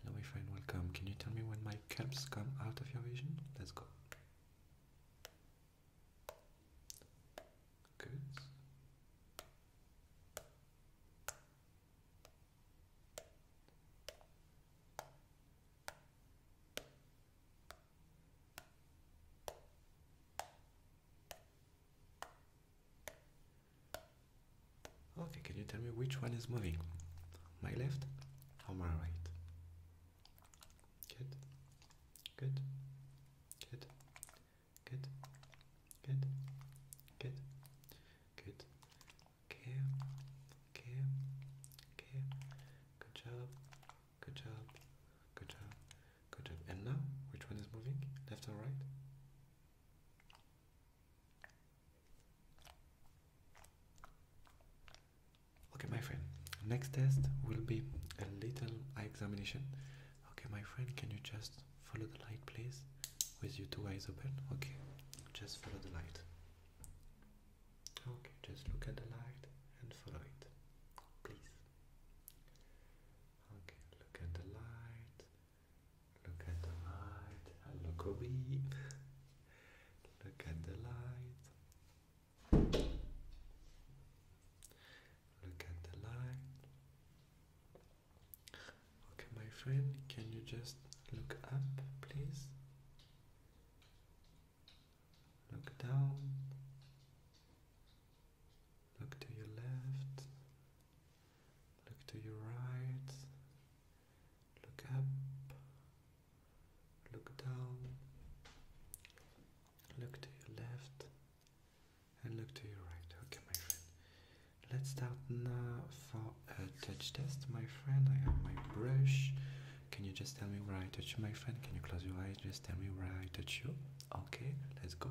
Hello, my friend, welcome. Can you tell me when my caps come out of your vision? Let's go. Good. Oh, okay, can you tell me which one is moving? My left or my right? Good, good, good, good, good, good, good. Okay, okay, okay. Good job, good job, good job, good job. And now, which one is moving? Left or right? Okay, my friend, next test will be a little eye examination. Okay, my friend, can you just follow the light, please? With your two eyes open? Okay, just follow the light. Okay, just look at the light and follow it, please. Okay, look at the light Look at the light and look Look at the light. Look at the light. Okay, my friend, can you just look up, please? Look down. Look to your left. Look to your right look up, look down, look to your left, and look to your right. Okay, my friend. Let's start now for a touch test, my friend. I have my brush. Can you just tell me where I touch you, my friend? Can you close your eyes? Just tell me where I touch you. Okay, let's go.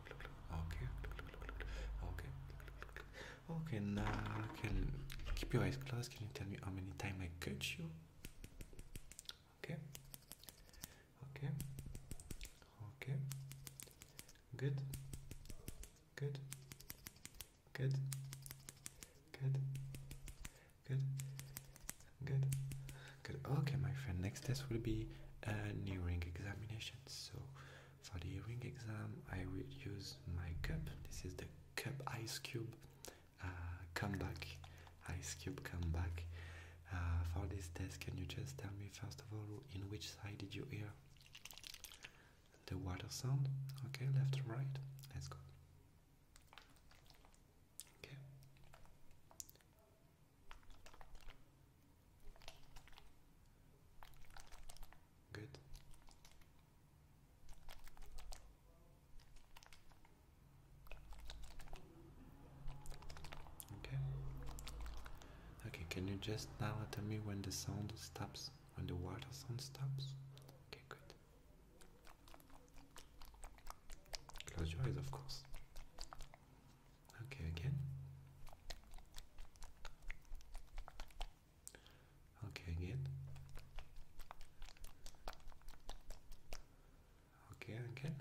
okay okay okay now can keep your eyes closed can you tell me how many times i cut you okay okay okay good good good good good good good okay my friend next test will be a uh, nearing examination so for the hearing exam, I will use my cup. This is the cup ice cube uh, Come back, Ice cube Come back. Uh, for this test, can you just tell me first of all in which side did you hear the water sound? Okay, left or right? Let's go. Okay. Good. Okay. Okay, can you just now tell me when the sound stops? When the water sound stops? Okay, good. Close your eyes, of course. Okay, again. Okay, again. Okay, again.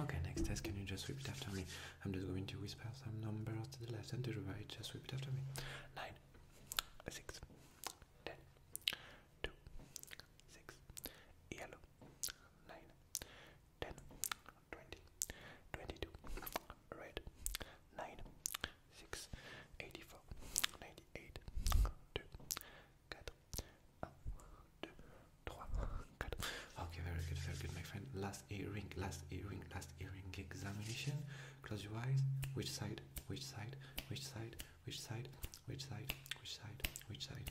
Okay, next test, can you just repeat after me? I'm just going to whisper some numbers to the left and to the right. Just repeat after me. Nine, six, ten, two, six, yellow, nine, 10, red, 9, 6, 2, 4, 1, 2, 3, 4. Okay, very good, very good, my friend. Last earring, last earring, last earring examination. Close your eyes. Which side? Which side? Which side? Which side? Which side? Which side? Which side?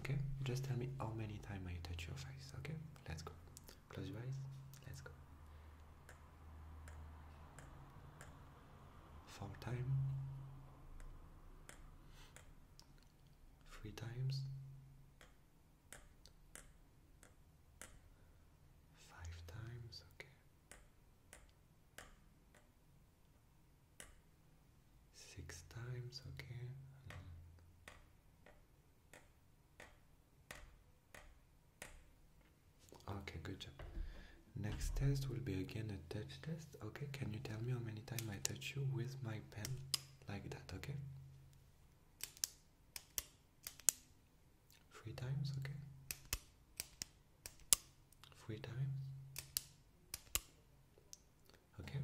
Okay, just tell me how many times I touch your face. Okay, let's go. Close your eyes. Let's go. Four times. Three times. Five times. Okay. Six times, okay. Okay, good job. Next test will be again a touch test. Okay, can you tell me how many times I touch you with my pen like that, okay? Three times, okay? Three times. Okay.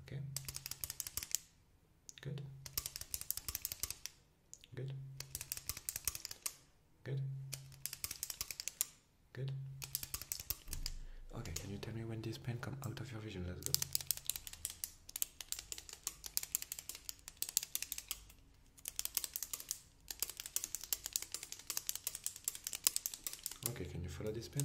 Okay. Good. Good. Good. Good. Okay, can you tell me when this pen come out of your vision? Let's go. Okay, can you follow this pen?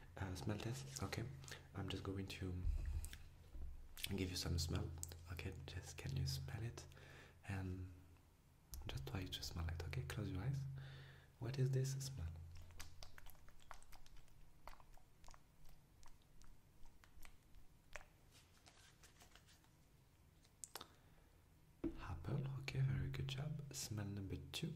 uh, smell test okay i'm just going to give you some smell okay just can you smell it and just try to smell it okay close your eyes what is this smell apple okay very good job smell number two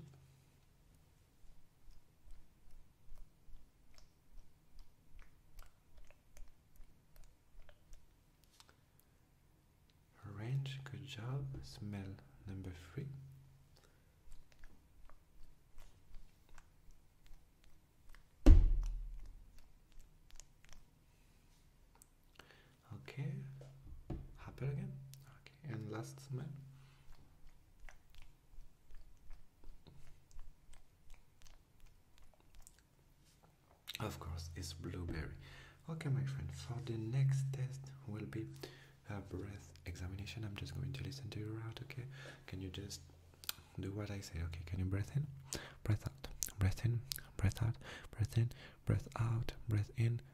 Arrange. good job. Smell number three. Okay, apple again. Okay, and last smell. Of course, it's blueberry. Okay, my friend, for the next test will be a breath examination. I'm just going to listen to your out, okay? Can you just do what I say, okay? Can you breathe in? Breath out. Breath in, breath out, breath in, breath out, breath in,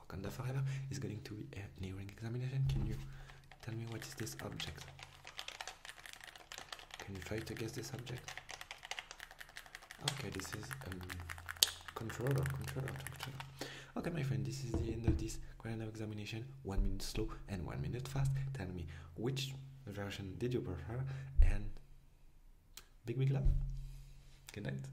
Wakanda Forever is going to be a nearing examination. Can you tell me what is this object? Can you try to guess this object? Okay, this is um, controller, controller, controller. Okay, my friend, this is the end of this grand examination. One minute slow and one minute fast. Tell me which version did you prefer and big big love. Good night.